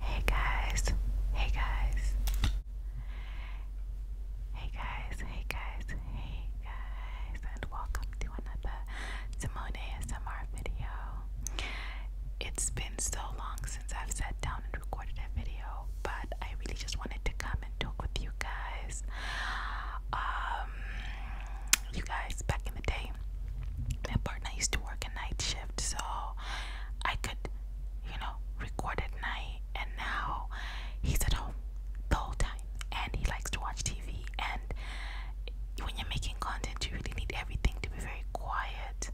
Hey guys, hey guys, hey guys, hey guys, hey guys, and welcome to another Simone ASMR video. It's been so long since I've sat down and recorded a video, but I really just wanted to come and talk with you guys. Um, you guys, back in the day, my partner used to work a night shift, so I could, you know, record at night. And now he's at home the whole time, and he likes to watch TV. And when you're making content, you really need everything to be very quiet.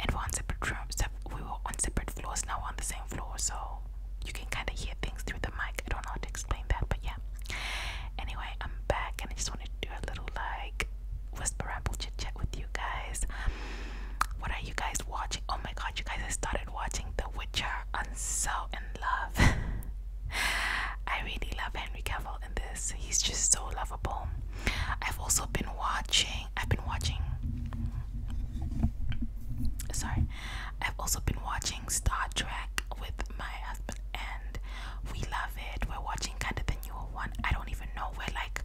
And we're on separate rooms. We were on separate floors. Now we're on the same floor, so you can kind of hear things through the mic. I don't know how to explain that, but yeah. Anyway, I'm back, and I just wanted to do a little like whisper apple chit chat with you guys. What are you guys watching? Oh my god, you guys! I started watching The Witcher. I'm so in love. I really love Henry Cavill in this. He's just so lovable. I've also been watching. I've been watching. Sorry, I've also been watching Star Trek with my husband, and we love it. We're watching kind of the one. I don't even know where like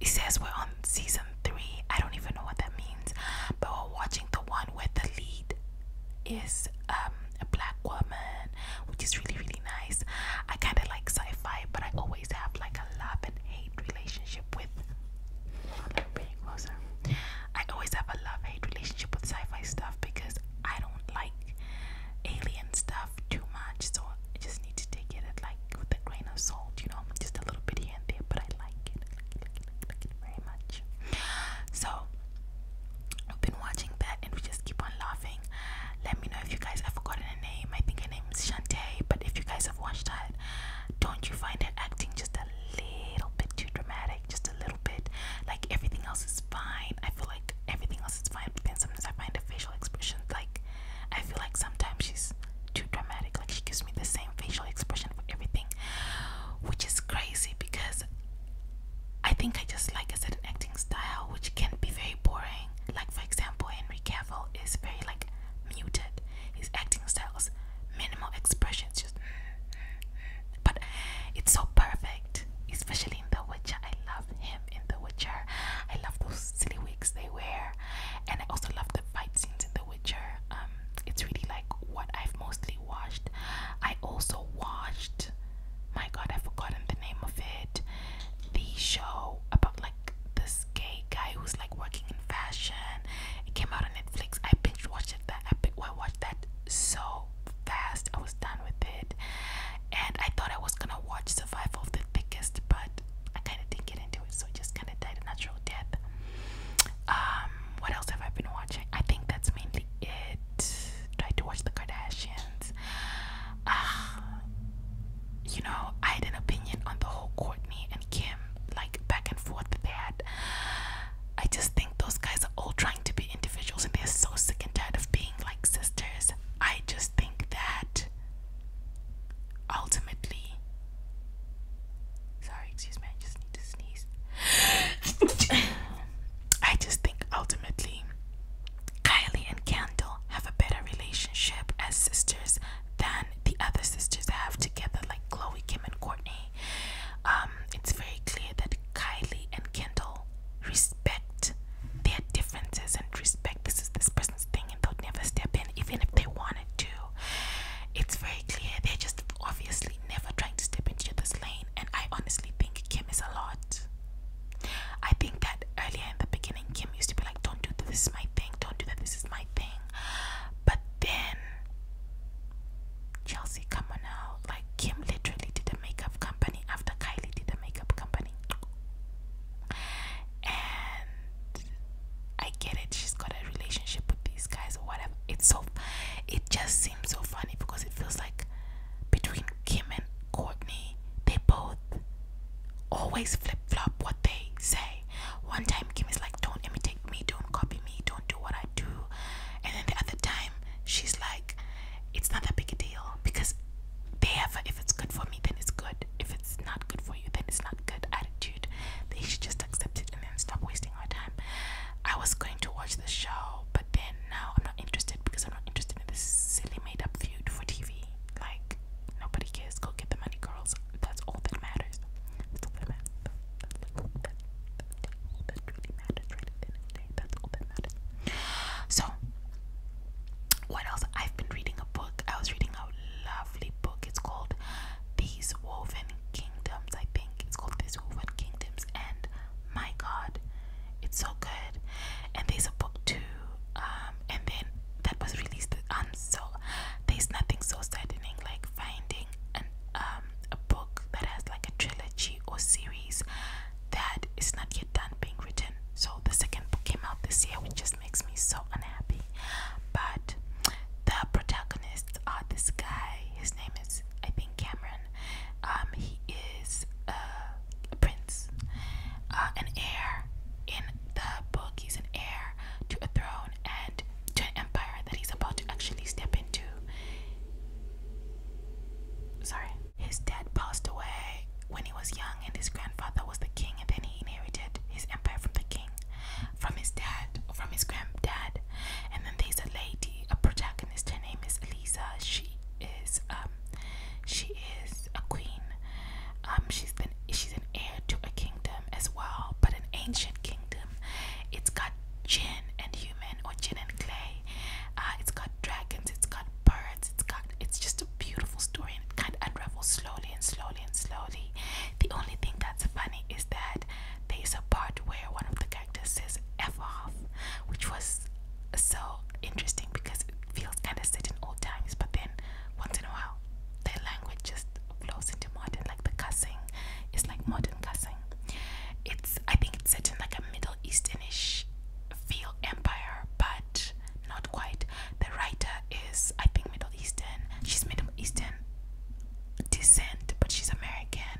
it says we're on season three. I don't even know what that means. But we're watching the one where the lead is um, a black woman, which is really really nice. I kind of like sci-fi, but I always have like a love and hate relationship with. I'm bringing closer. I always have a love hate relationship with sci-fi stuff because I don't like alien stuff too much, so I just need to take it at like with a grain of salt, you know, just a little bit here and there. But I like it, I I very much. So we've been watching that, and we just keep on laughing. Let me know if you guys have forgotten her name. I think her name is Shantae, but if you guys have watched that, don't you find her acting just a little bit too dramatic? Just a little bit. Like everything else is fine. I feel like everything else else fine. But sometimes I find her facial expression like I feel like sometimes she's too dramatic. Like she gives me the same facial expression for everything, which is crazy because I think I just like a certain acting style, which can be very boring. Like for example, Henry Cavill is very like muted. His acting styles, minimal expressions, just. But it's so perfect, especially in The Witcher. I love him in The Witcher. I love those silly wigs they wear, and I also love the fight scenes in The Witcher. Um, it's really like what I've mostly watched. I also watched. My God, I've forgotten the name of it. The show about like this gay guy who's like working in fashion. It came out on Netflix. I binge watched it. That I, I watched that so fast. I was done with it, and I thought I was gonna watch survival of the thickest, but I kind of didn't get into it, so I just kind of died a natural death. Um, what else have I been watching? I think that's mainly it. Tried to watch the Kardashians. Uh, you know, I had an opinion on the whole Courtney and Kim, like back and forth that they had. I just think those guys are all trying to be individuals and they're so sick and tired of being like sisters. I just think that ultimately, sorry, excuse me, I just need to sneeze. I just think ultimately, Kylie and Kendall have a better relationship as sisters than the other sisters have together, like Chloe, Kim, and Courtney. Um, it's very clear that Kylie and Kendall respect their differences and respect this is this person's thing and they'll never step in even if they wanted to. It's very clear they're just obviously never trying to step into this lane and I honestly think Kim is a lot. I think that earlier in the beginning Kim used to be like don't do this, this is my thing, don't do that, this is my thing. But then Chelsea, come on now. Like Kim literally did the makeup company after Kylie did the makeup company. And I get it, she's got a relationship with these guys or whatever. It's so it just seems so funny because it feels like between Kim and Courtney, they both always flip flop what they say. One time Kim is like, Don't imitate me, don't copy me, don't do what I do and then the other time she's like, It's not that big a deal because they have a, if it's good for me then it's good if it's not good for you then it's not good attitude they should just accept it and then stop wasting our time i was going to watch the show but then now i'm not interested because i'm not interested in this silly made-up feud for tv like nobody cares go get the money girls that's all that matters that's all So, what else? I've been reading a book. I was reading a lovely book. It's called These Woven Kingdoms, I think. It's called These Woven Kingdoms. And my God, it's so good. And there's a book too. Um, and then that was released. Um, so there's nothing so saddening like finding an um a book that has like a trilogy or series that is not yet done being written. So the second book came out this year, which just makes me so unhappy. But the protagonists are this guy. His name is, I think, Cameron. Um, he is a prince, uh, an heir. In the book, he's an heir to a throne and to an empire that he's about to actually step into. Sorry. His dad passed away when he was young, and his grandfather was the king, and then he inherited his empire from the king, from his dad, or from his granddad. And then there's a lady, a protagonist. Her name is Elisa. She is um, she is a queen. Um, she's she's an heir to a kingdom as well, but an ancient kingdom. It's got gin and human, or gin and clay. Uh, it's got dragons. It's got birds it's just a beautiful story and it kind of unravels slowly and slowly and slowly. The only thing that's funny is that there's a part where one of the characters says F off, which was so interesting because it feels kind of set in old times, but then once in a while, the language just flows into modern, like the cussing is like modern cussing. It's, I think it's set in like a middle. Easternish feel empire, but not quite. The writer is, I think, Middle Eastern. She's Middle Eastern descent, but she's American,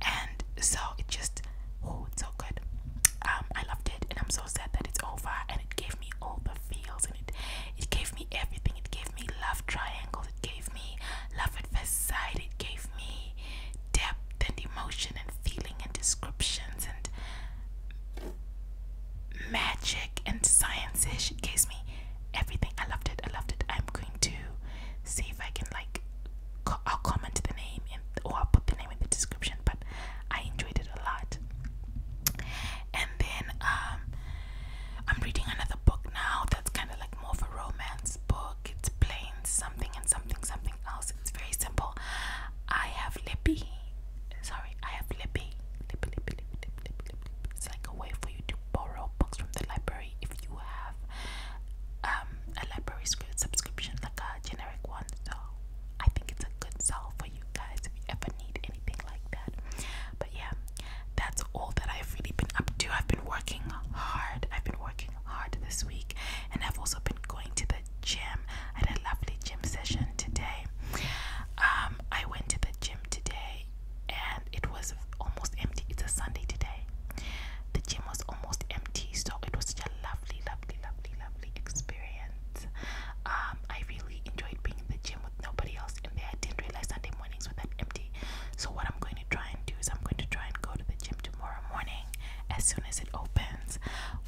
and so it just oh, it's so good. Um, I loved it, and I'm so sad that it's over. And it gave me all the feels, and it it gave me everything. It gave me love triangles. It gave me love at first sight. It gave me depth and emotion and feeling and descriptions and magic and science-ish. It gives me everything. I loved it. I loved it. I'm going to see if I can like. Co I'll comment the name in, or I'll put the name in the description. But I enjoyed it a lot. And then um, I'm reading another book now. That's kind of like more of a romance book milk, it's plain something and something something else. It's very simple. I have lippy. Sorry, I have lippy. Lippy, lippy, lippy, lippy, lippy, lippy. It's like a way for you to borrow books from the library if you have um a library subscription, like a generic one. So I think it's a good sell for you guys if you ever need anything like that. But yeah, that's all that I've really been up to. I've been working hard. I've been working hard this week, and I've also been going to the gym. I had a lovely gym session today. Um, I went to the gym today, and it was almost empty. It's a Sunday today. The gym was almost empty, so it was such a lovely, lovely, lovely, lovely experience. Um, I really enjoyed being in the gym with nobody else in there. I didn't realize Sunday mornings were that empty. So what I'm going to try and do is I'm going to try and go to the gym tomorrow morning as soon as it opens.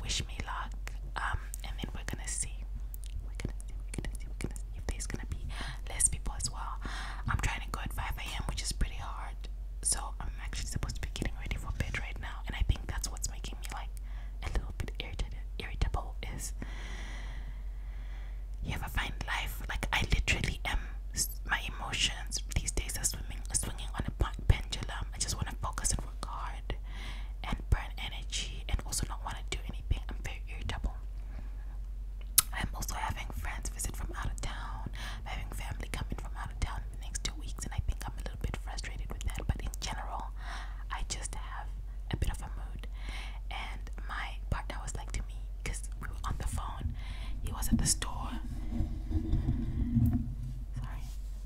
Wish me luck. Um, and then we're gonna see. We're gonna see, we're gonna see, we're gonna see if there's gonna be less people as well. I'm trying to go at 5 a.m., which is pretty hard. So I'm actually supposed to be getting ready for bed right now, and I think that's what's making me like a little bit irritated irritable is you ever find life like I literally am my emotions these days are swimming, swinging on a pendulum. I just want to focus and work hard and burn energy and also not want to do anything. I'm very irritable. I'm also having friends visit from out of town, I'm having family coming from out of town the next two weeks, and I think I'm a little bit frustrated with that. But in general, I just have a bit of a mood. And my partner was like to me because we were on the phone he was at the store. Sorry.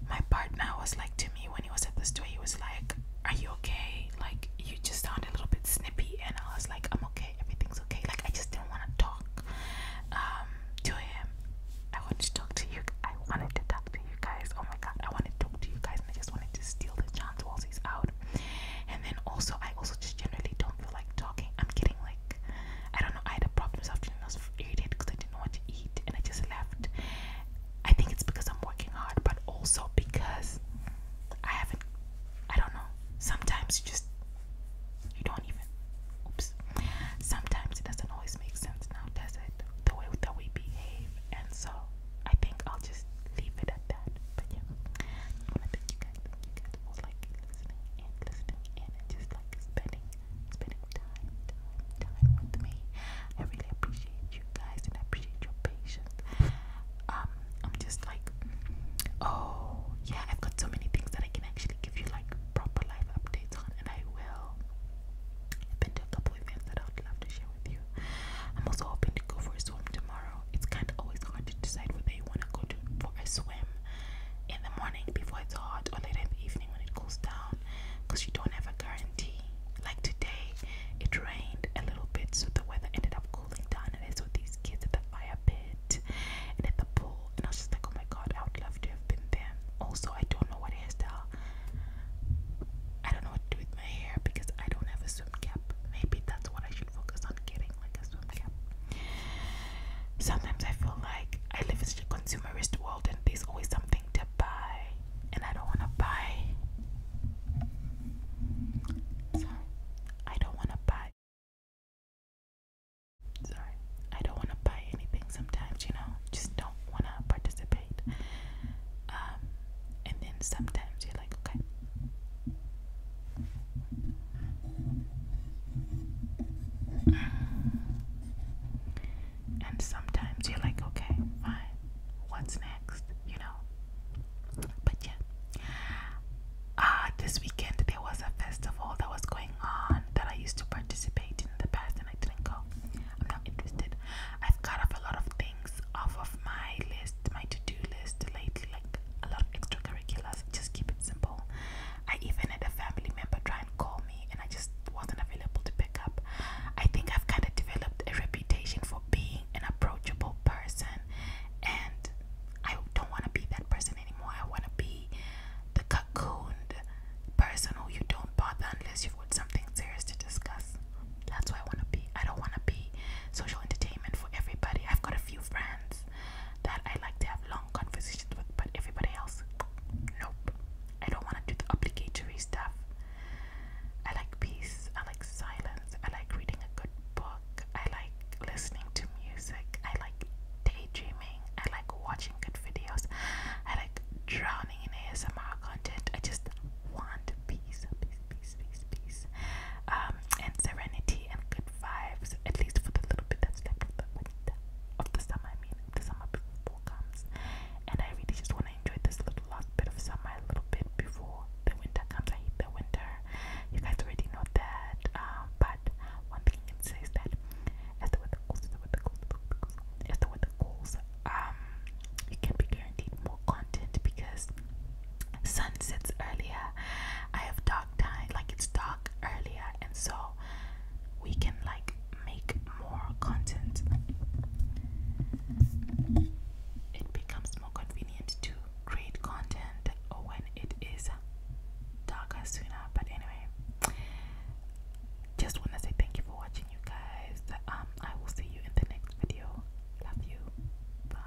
My partner was like to me when he was at the store, he was like, Are you okay? Like, you just sound a little bit snippy. And I was like, I'm okay. Everything's okay. Like, I just didn't want to talk um, to him. I wanted to talk to you. I wanted to talk to you guys. Oh my God. I wanted to talk to you guys. And I just wanted to steal the chance while he's out. And then also, I also just generally don't feel like talking. I'm getting like, I don't know. I had a I was irritated because I didn't know to eat and I just left. I think it's because I'm working hard, but also because I haven't, I don't know. Sometimes you just, you don't even, oops. Sometimes it doesn't always make sense now, does it? The way that we behave. And so I think I'll just leave it at that. But yeah, I want to thank you guys. you guys for like listening and listening and just like spending spending time, time, time with me. I really appreciate you guys and I appreciate your patience. Um, I'm just like, oh yeah, I've got so many things that I can actually give you like proper life updates on, and I will. I've been to a couple events that I would love to share with you. I'm also hoping to go for a swim tomorrow. It's kind of always hard to decide whether you want to go to for a swim in the morning before it's hot or later in the evening when it cools down because you don't have a guarantee. Like today, it rained a little bit, so the weather ended up cooling down, and I saw these kids at the fire pit and at the pool, and I was just like, oh my god, I would love to have been them. Also, I don't know what hairstyle. I don't know what to do with my hair because I don't have a swim cap. Maybe that's what I should focus on getting. Sometimes I feel like I live in such a consumerist world and there's always something to buy, and I don't want to buy. Sorry, I don't want to buy. Sorry, I don't want to buy anything sometimes, you know, just don't want to participate. Um, and then sometimes you're like, okay, and sometimes you're like, okay, fine, what's next? You know? But yeah. Uh, this weekend there was a festival that was going on that I used to participate in the past and I didn't go. I'm not interested. I've cut off a lot of things off of my list, my to do list lately, like a lot of extracurriculars. Just keep it simple. I even had a family member try and call me, and I just wasn't available to pick up. I think I've kind of developed a reputation for being an approachable person, and I don't want to be that person anymore. I want to be the cocooned person who you don't bother unless you've got something serious to discuss. That's why I want to be. I don't want to be social entertainment for everybody. I've got a few friends that I like to have long conversations with, but everybody else, nope. I don't want to do the obligatory stuff. I like peace, I like silence, I like reading a good book, I like listening to music, I like daydreaming, I like watching good videos, I like drowning in ASMR content. I just want peace, peace, peace, peace, peace, um, and serenity and good good at least for the little bit that's left of the of the summer. I mean, the summer before comes, and I really just want to enjoy this little last bit of summer, a little bit before the winter comes. I hate the winter. You guys already know that. Um, but one thing I can that as the weather goes, as the weather goes, as the weather goes, um, you can be guaranteed more content because sun sets earlier. I have dark like it's dark earlier and so we can like make more content it becomes more convenient to create content when it is darker sooner but anyway just want to say thank you for watching you guys um, i will see you in the next video love you bye